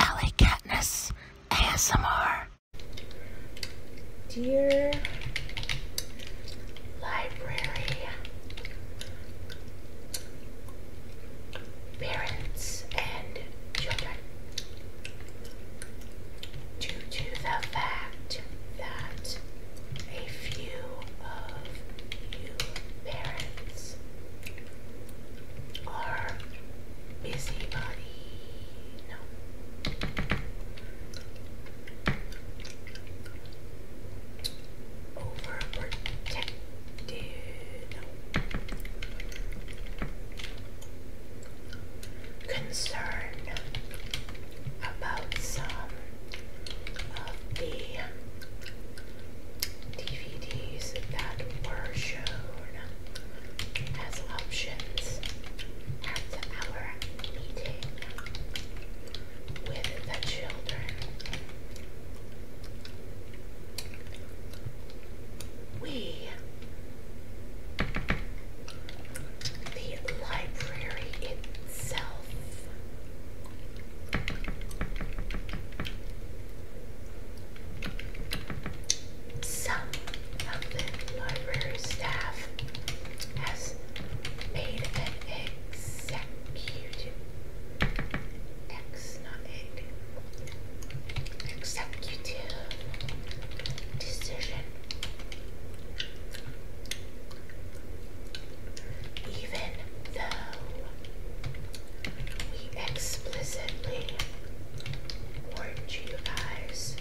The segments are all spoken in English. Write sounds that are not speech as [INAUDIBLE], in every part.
Ellie Katniss ASMR. Dear library parents and children, due to the fact that a few of you parents or busybody. No. Overprotective. No. Concern about some of the DVDs that were shown as options at our meeting with the children. We, the library itself, some of the library staff has made an executive decision. Even though we explicitly warned you guys.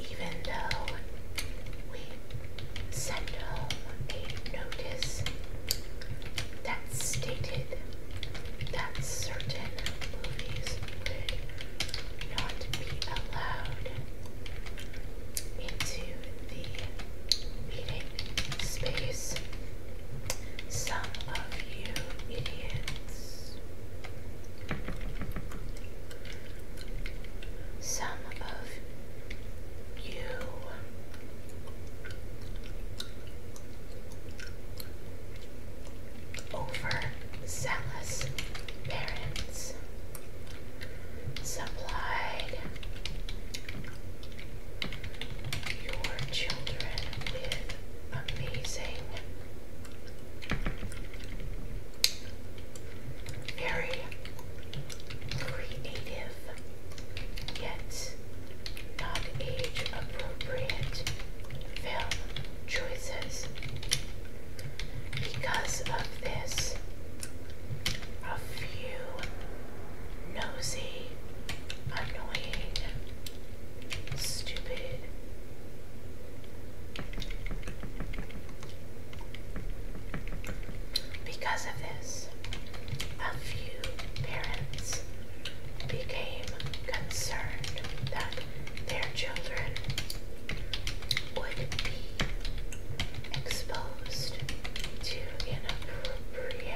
Even though we sent home a notice that stated that certain movies would not be allowed into the eating space. Some of you idiots. Some of you overzealous parents supplied you children with amazing, very creative, yet not age appropriate film choices. Because of this, a few nosy, annoying, stupid. Because of this, a few parents became concerned that their children would be exposed to inappropriate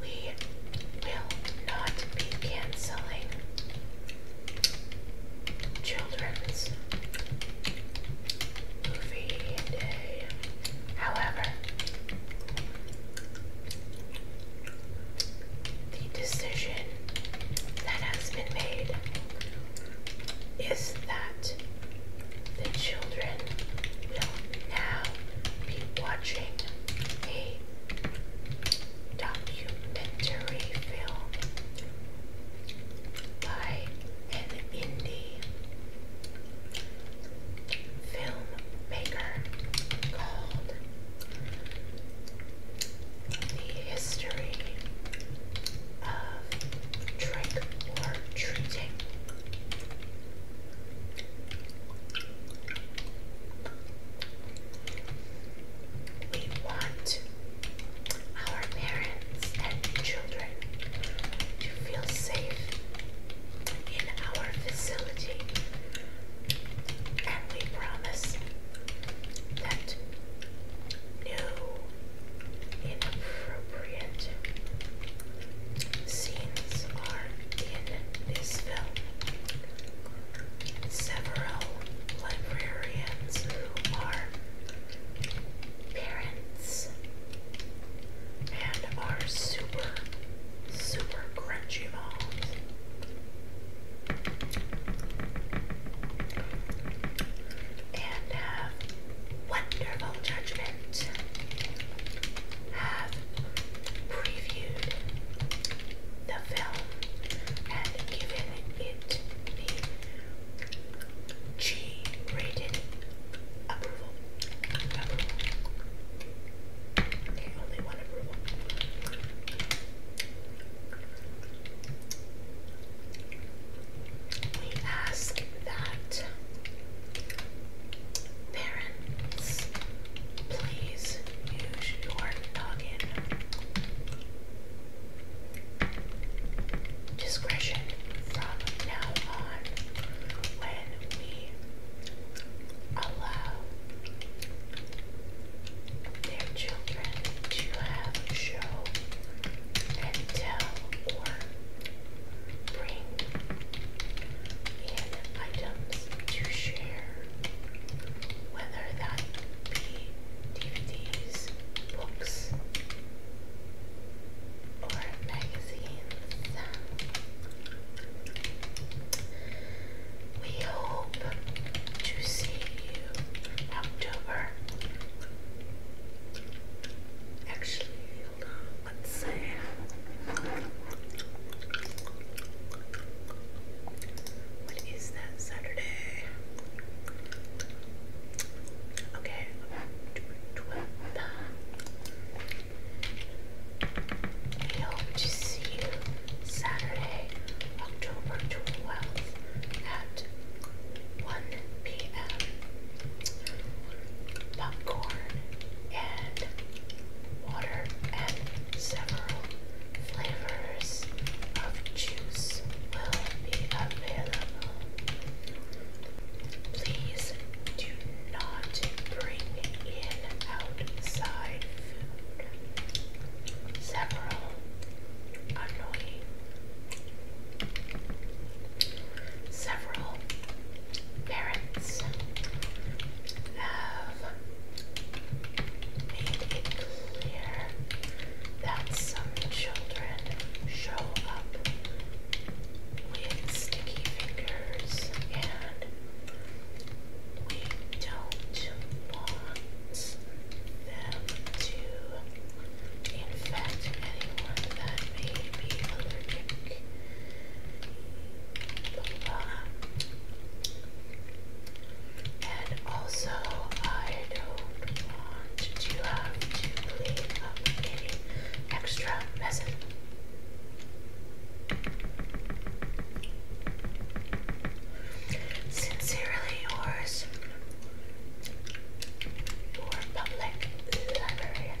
we will not be canceling children's movie day. However, the decision that has been made is that the children will now be watching a documentary film by an indie filmmaker called the history of drink or treating. We want our parents and children to feel safe in our facility, and we promise that no inappropriate scenes are in this film. Several librarians who are parents and are super, super crunchy moms and have wonderful judgment. Have previewed the film and given it the G rated approval. Okay, only one approval we ask that parents please use your discretion from now on when we allow their children to have show and tell or bring in items to share, whether that be DVDs, books, or magazines. We hope to see you October Actually, let's see. What is that Saturday? Okay, we hope to see you Saturday, October 12th at 1 p.m. Popcorn and water and several flavors of juice will be available. Please do not bring in outside food. Several annoying Several parents have made it clear that some children show up with sticky fingers and we don't want them to infect anyone that may be allergic. And also, I don't want to have to clean any extra messes. Sincerely yours, or public librarian.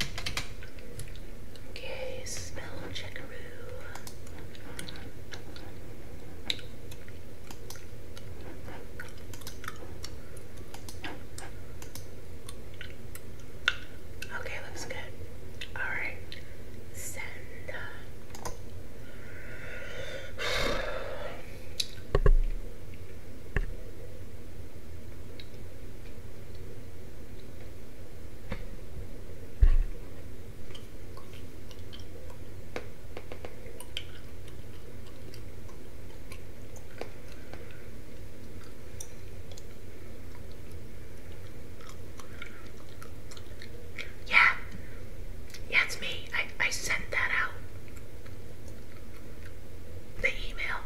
Okay, smell checkaroo. Okay, looks good. Alright, send. Uh, yeah, yeah, it's me. I, I sent that out the email.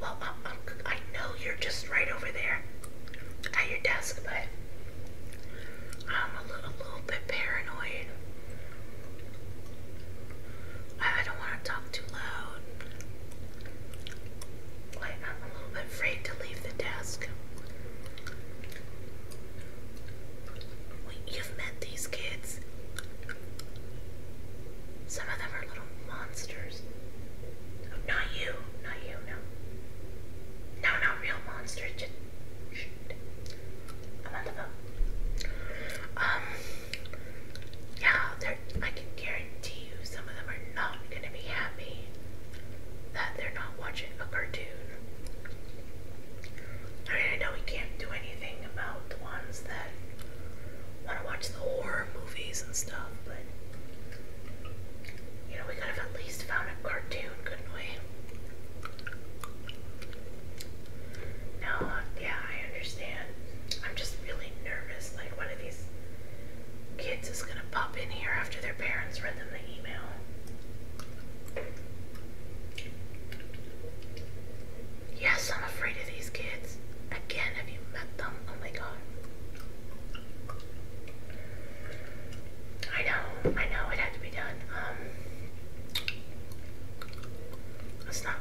Well, I know you're just right over there at your desk, but I'm a little, bit paranoid. I, don't want to talk too loud. I'm a little bit afraid to leave the desk. You've met these kids. Some of them are little monsters. Not you, not you, no. No, not real monsters. shh. I'm on the phone. Um, yeah, I can guarantee you some of them are not gonna be happy that they're not watching a cartoon. I mean, I know we can't do anything about the ones that want to watch the horror movies and stuff, but you know, we could have at least found a cartoon, couldn't we? No, yeah, I understand. I'm just really nervous. Like, one of these kids is gonna pop in here after their parents read them the email. Yes, I'm afraid of these kids. Again, have you met them? Oh my god. I know, I know, it had to be done. Um, it's not,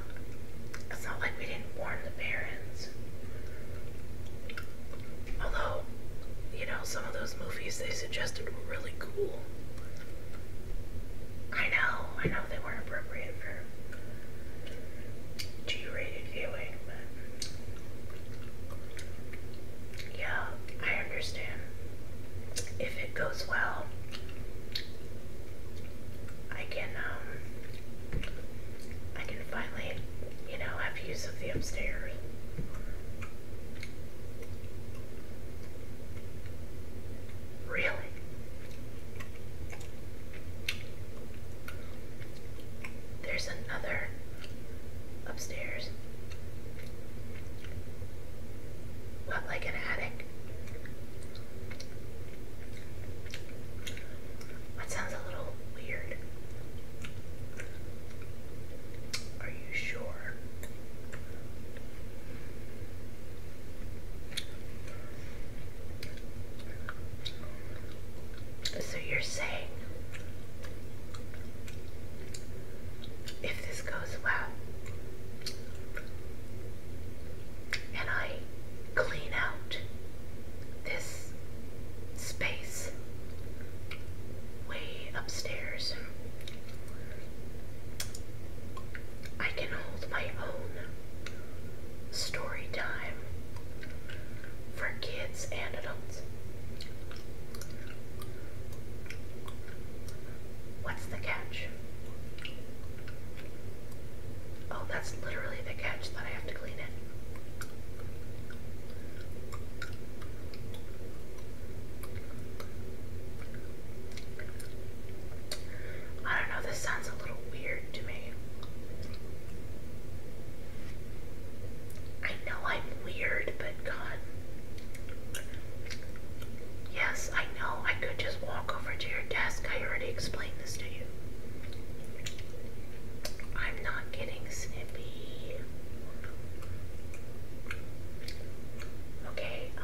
it's not like we didn't warn the parents. Although, you know, some of those movies they suggested were really cool. I know, I know they weren't appropriate for G-rated viewing, but yeah, I understand. If it goes well, I can um, I can finally, you know, have use of the upstairs. Really? There's another upstairs. What, like an attic? That sounds a little weird. Are you sure? So you're saying if this goes well and I clean out this space way upstairs I can hold my own story time for kids and adults. What's the catch? Oh, that's literally the catch that I have to clean it. I don't know, this sounds a little weird to me. I know I'm weird, but God. Yes, I know I could just walk over to your desk. I already explained this to you. I'm not getting snippy. Okay, um.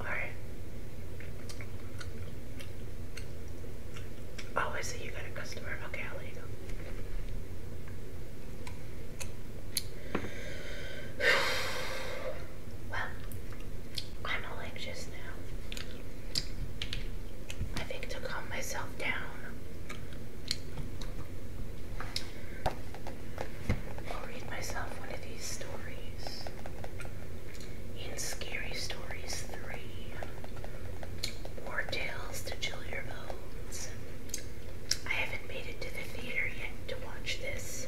Alright. Oh, I see you got a customer. Okay, I'll let you go. [SIGHS] well, I'm all anxious now. I think to calm myself down, I'll read myself one of these stories. In Scary Stories 3, War Tales to Chill Your Bones. I haven't made it to the theater yet to watch this.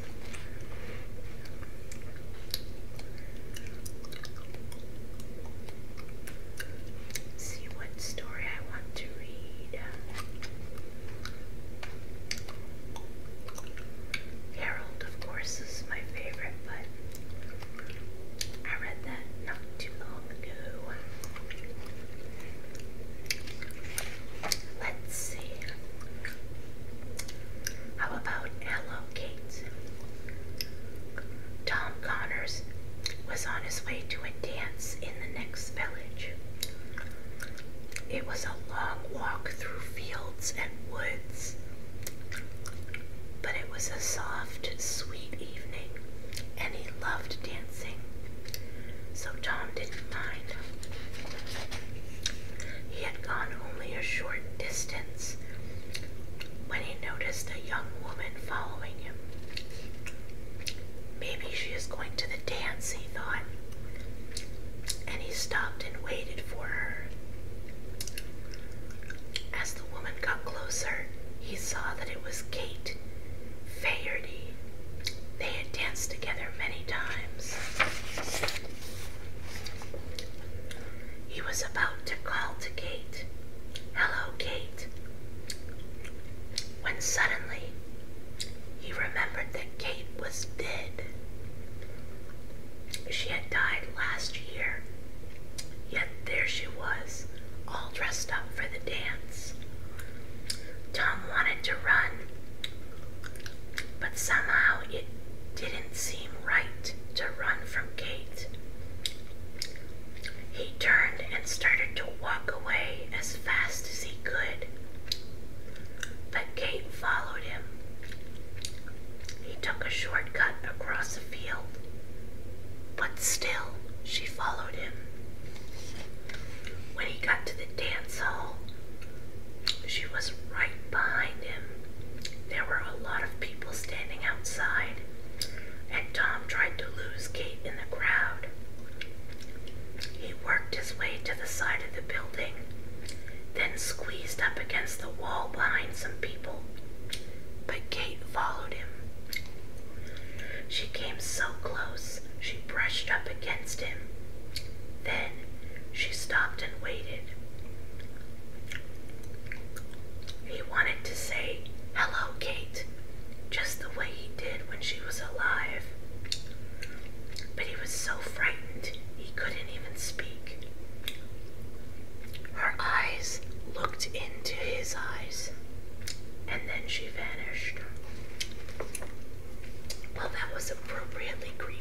See what story I want to read. Harold, of course, is my favorite, but I read that not too long ago. Let's see. How about Hello Kate? Tom Connors was on his way to a dance in the next village. It was a long walk through fields and woods, but it was a soft, sweet evening, and he loved dancing, so Tom didn't mind. He had gone only a short distance when he noticed a young woman following him. Maybe she is going to the dance, thought, and he stopped and waited for her. As the woman got closer, he saw that it was Kate Faherty. They had danced together many times. He was about to call to Kate, Hello, Kate, when suddenly he remembered that Kate was dead. She had died last year, yet there she was, all dressed up for the dance. Tom wanted to run, but somehow it didn't seem right to run from Kate. He turned and started to walk away as fast as he could. But Kate followed him. He took a shortcut across the field, but still she followed him. When he got to the dance hall, she was right behind him. There were a lot of people standing outside, and Tom tried to lose Kate in the crowd. He worked his way to the side of the building then squeezed up against the wall behind some people. But Kate followed him. She came so close, she brushed up against him. Then she stopped and waited. He wanted to say, Hello, Kate, just the way he did when she was alive. But he was so frightened he couldn't even speak. Her eyes looked into his eyes, and then she vanished. Well, that was appropriately creepy.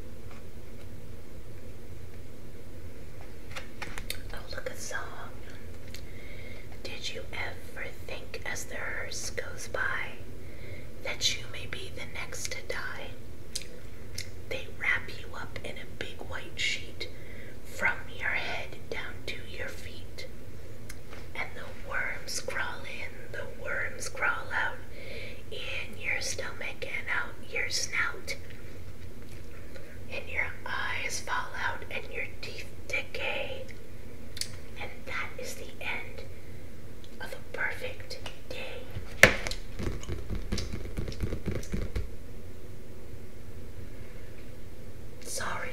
Oh, look, a song. Did you ever think as the hearse goes by that you may be the next to die? They wrap you up in a big white sheet from your head down to your feet, and the worms crawl in the worms crawl out in your stomach and out your snout. And your eyes fall out and your teeth decay. And that is the end of a perfect day. Sorry.